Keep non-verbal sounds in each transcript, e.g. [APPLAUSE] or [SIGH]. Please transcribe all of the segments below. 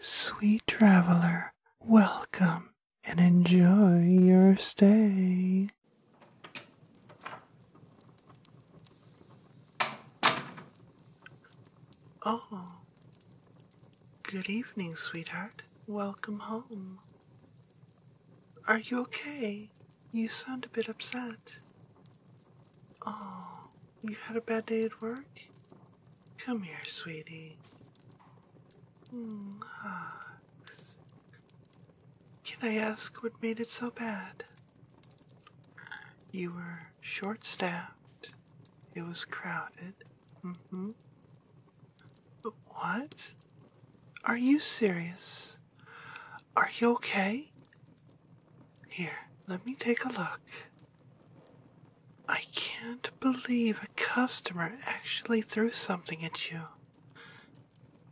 Sweet traveler, welcome and enjoy your stay. Oh, good evening, sweetheart. Welcome home. Are you okay? You sound a bit upset. Oh, you had a bad day at work? Come here, sweetie. Mm, ah. Can I ask what made it so bad? You were short staffed. It was crowded. Mm-hmm. What? Are you serious? Are you okay? Here, let me take a look. I can't believe a customer actually threw something at you.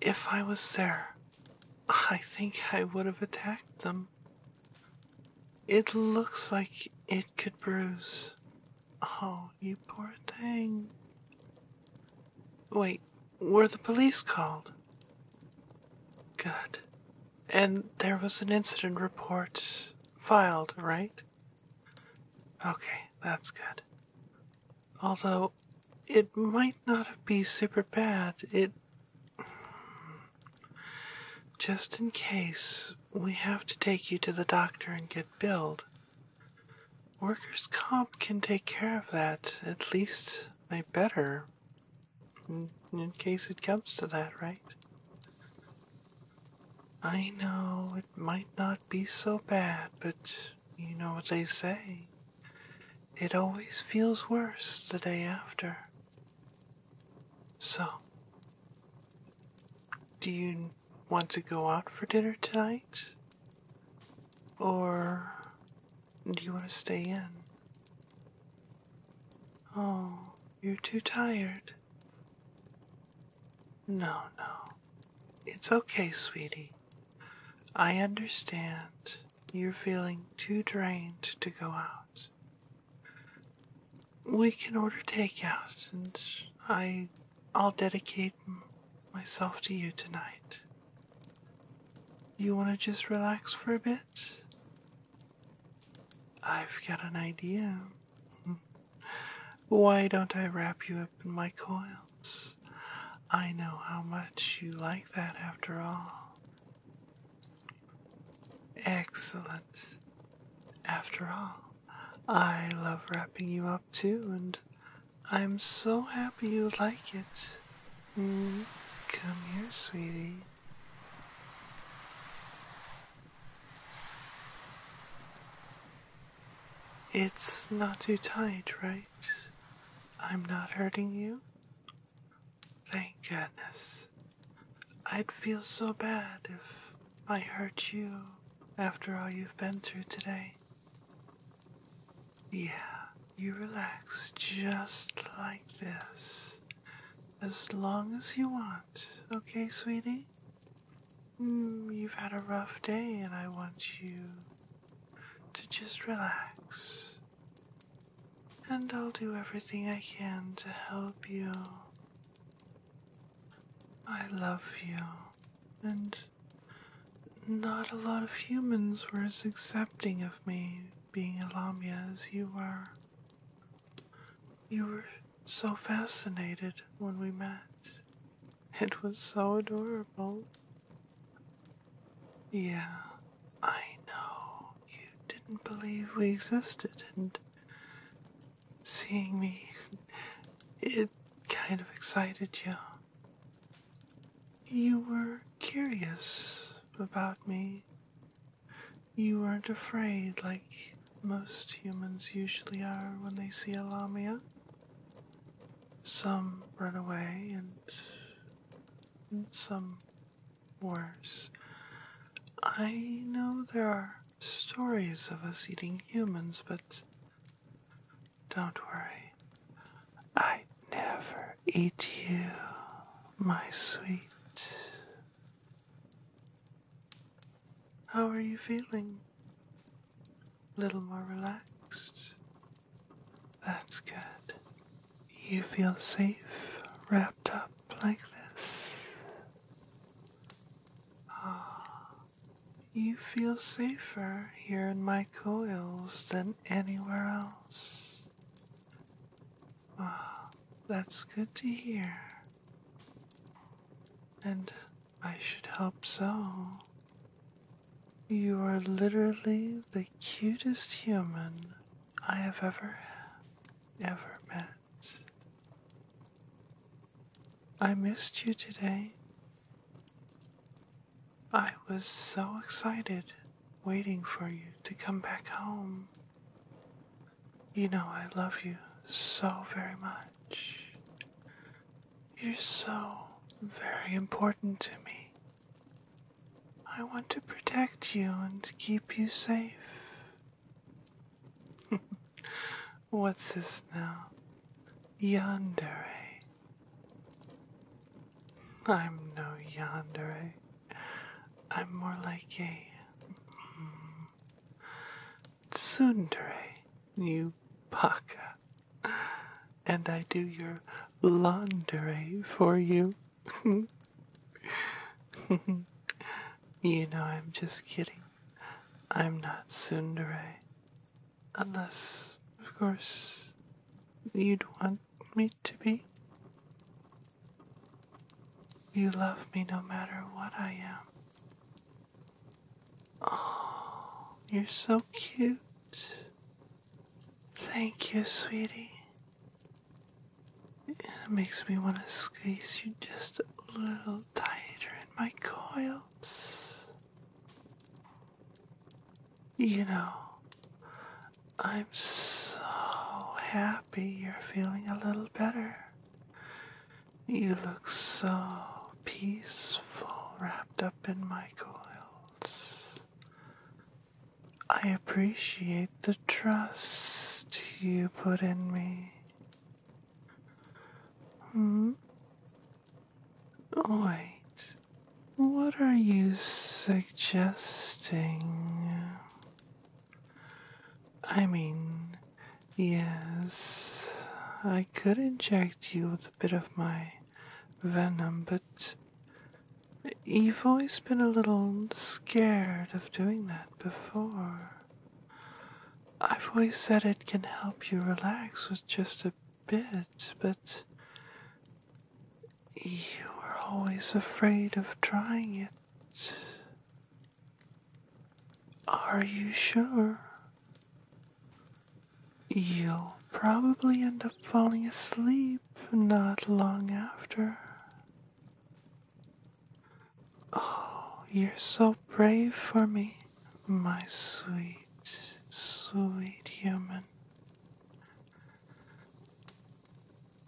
If I was there, I think I would have attacked them. It looks like it could bruise. Oh, you poor thing. Wait, were the police called? Good. And there was an incident report filed, right? Okay, that's good. Although, it might not be super bad. It. Just in case, we have to take you to the doctor and get billed. Workers' comp can take care of that, at least they better in case it comes to that, right? I know it might not be so bad, but you know what they say. It always feels worse the day after. So, do you want to go out for dinner tonight? Or do you want to stay in? Oh, you're too tired. No, no. It's okay, sweetie. I understand you're feeling too drained to go out. We can order takeout, and I, I'll dedicate myself to you tonight. You want to just relax for a bit? I've got an idea. Why don't I wrap you up in my coils? I know how much you like that after all. Excellent. After all, I love wrapping you up too, and I'm so happy you like it. Mm, come here, sweetie. It's not too tight, right? I'm not hurting you? Thank goodness. I'd feel so bad if I hurt you after all you've been through today. Yeah, you relax just like this. As long as you want, okay, sweetie? Mm, you've had a rough day, and I want you to just relax. And I'll do everything I can to help you. I love you, and not a lot of humans were as accepting of me being a Lamia as you were. You were so fascinated when we met. It was so adorable. Yeah, I know. You didn't believe we existed, and seeing me, [LAUGHS] it kind of excited you. You were curious about me. You weren't afraid like most humans usually are when they see a lamia. Some run away and, some worse. I know there are stories of us eating humans, but don't worry. I never eat you, my sweet. How are you feeling? A little more relaxed? That's good. You feel safe wrapped up like this? Ah, you feel safer here in my coils than anywhere else. Ah, that's good to hear. And I should hope so. You are literally the cutest human I have ever, ever met. I missed you today. I was so excited waiting for you to come back home. You know I love you so very much. You're so very important to me. I want to protect you and keep you safe. [LAUGHS] What's this now? Yandere. Eh? I'm no yonder. I'm more like a mm, you paka. And I do your laundry for you. [LAUGHS] you know, I'm just kidding. I'm not tsundere. Unless, of course, you'd want me to be. You love me no matter what I am. Oh, you're so cute. Thank you, sweetie. It makes me want to squeeze you just a little tighter in my coils. You know, I'm so happy you're feeling a little better. You look so peaceful wrapped up in my coils. I appreciate the trust you put in me. Hmm? Wait, what are you suggesting? I mean, yes, I could inject you with a bit of my venom, but you've always been a little scared of doing that before. I've always said it can help you relax with just a bit, but you were always afraid of trying it. Are you sure? You'll probably end up falling asleep not long after. Oh, you're so brave for me, my sweet, sweet human.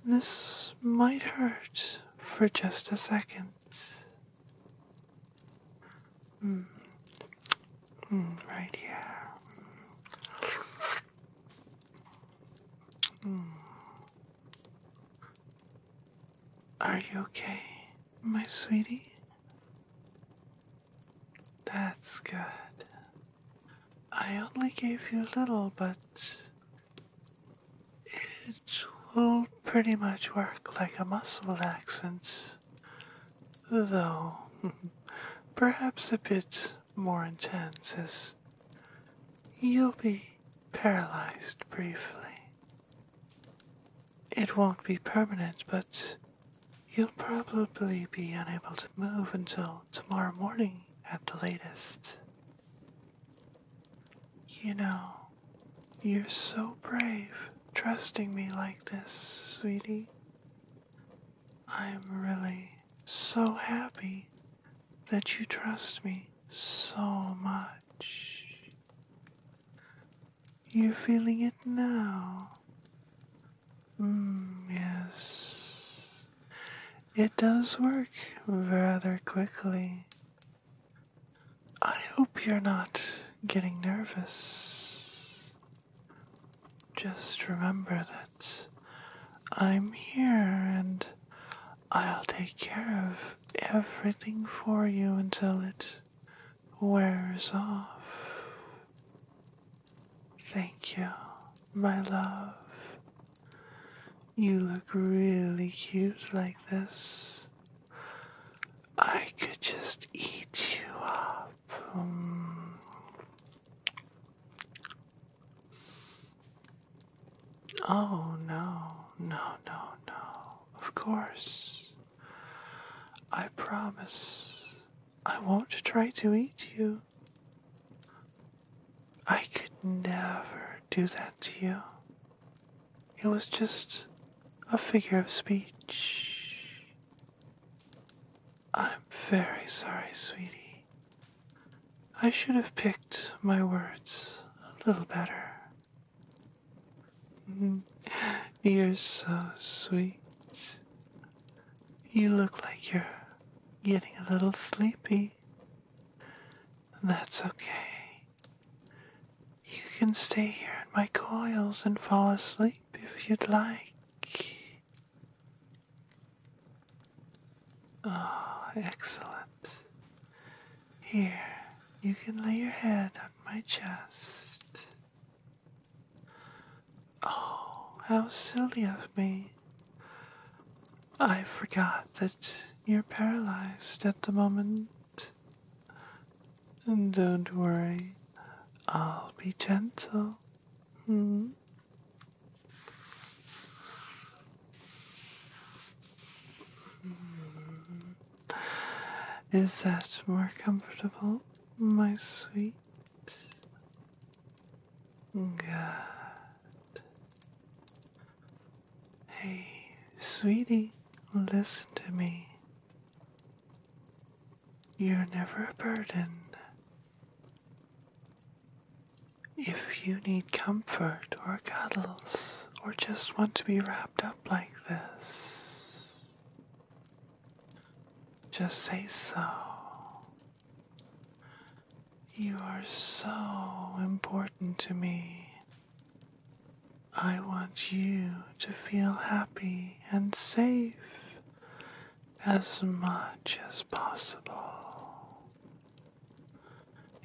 This might hurt for just a second. Mm. Mm, right here. Mm. Are you okay, my sweetie? That's good. I only gave you a little, but it will pretty much work like a muscle relaxant, though [LAUGHS] perhaps a bit more intense, as you'll be paralyzed briefly. It won't be permanent, but you'll probably be unable to move until tomorrow morning at the latest. You know, you're so brave trusting me like this, sweetie. I'm really so happy that you trust me so much. You're feeling it now. Mm, yes. It does work rather quickly. I hope you're not getting nervous. Just remember that I'm here and I'll take care of everything for you until it wears off. Thank you, my love. You look really cute like this. I could just eat you up. Mm. Oh, no, no, no, no. Of course. I promise I won't try to eat you. I could never do that to you. It was just a figure of speech. I'm very sorry, sweetie. I should have picked my words a little better. [LAUGHS] You're so sweet. You look like you're getting a little sleepy. That's okay. You can stay here in my coils and fall asleep if you'd like. Oh, excellent. Here, you can lay your head on my chest. Oh, how silly of me. I forgot that you're paralyzed at the moment. And don't worry, I'll be gentle. -hmm. Mm-hmm. Is that more comfortable, my sweet? Good. Hey, sweetie, listen to me. You're never a burden. If you need comfort or cuddles or just want to be wrapped up like this, just say so. You are so important to me. I want you to feel happy and safe as much as possible.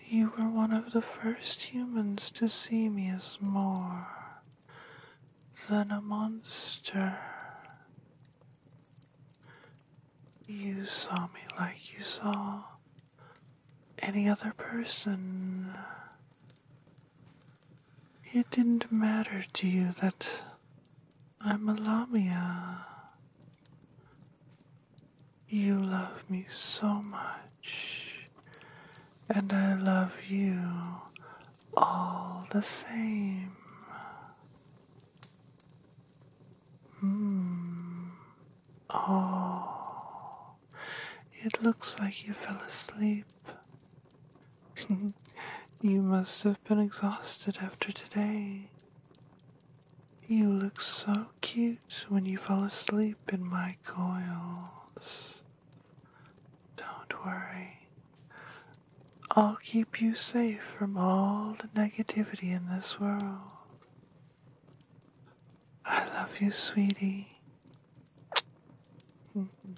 You were one of the first humans to see me as more than a monster. You saw me like you saw any other person. It didn't matter to you that I'm a Lamia. You love me so much, and I love you all the same. Mm. Oh, it looks like you fell asleep. [LAUGHS] you must have been exhausted after today. You look so cute when you fall asleep in my coils. Don't worry. I'll keep you safe from all the negativity in this world. I love you, sweetie. Mm-hmm.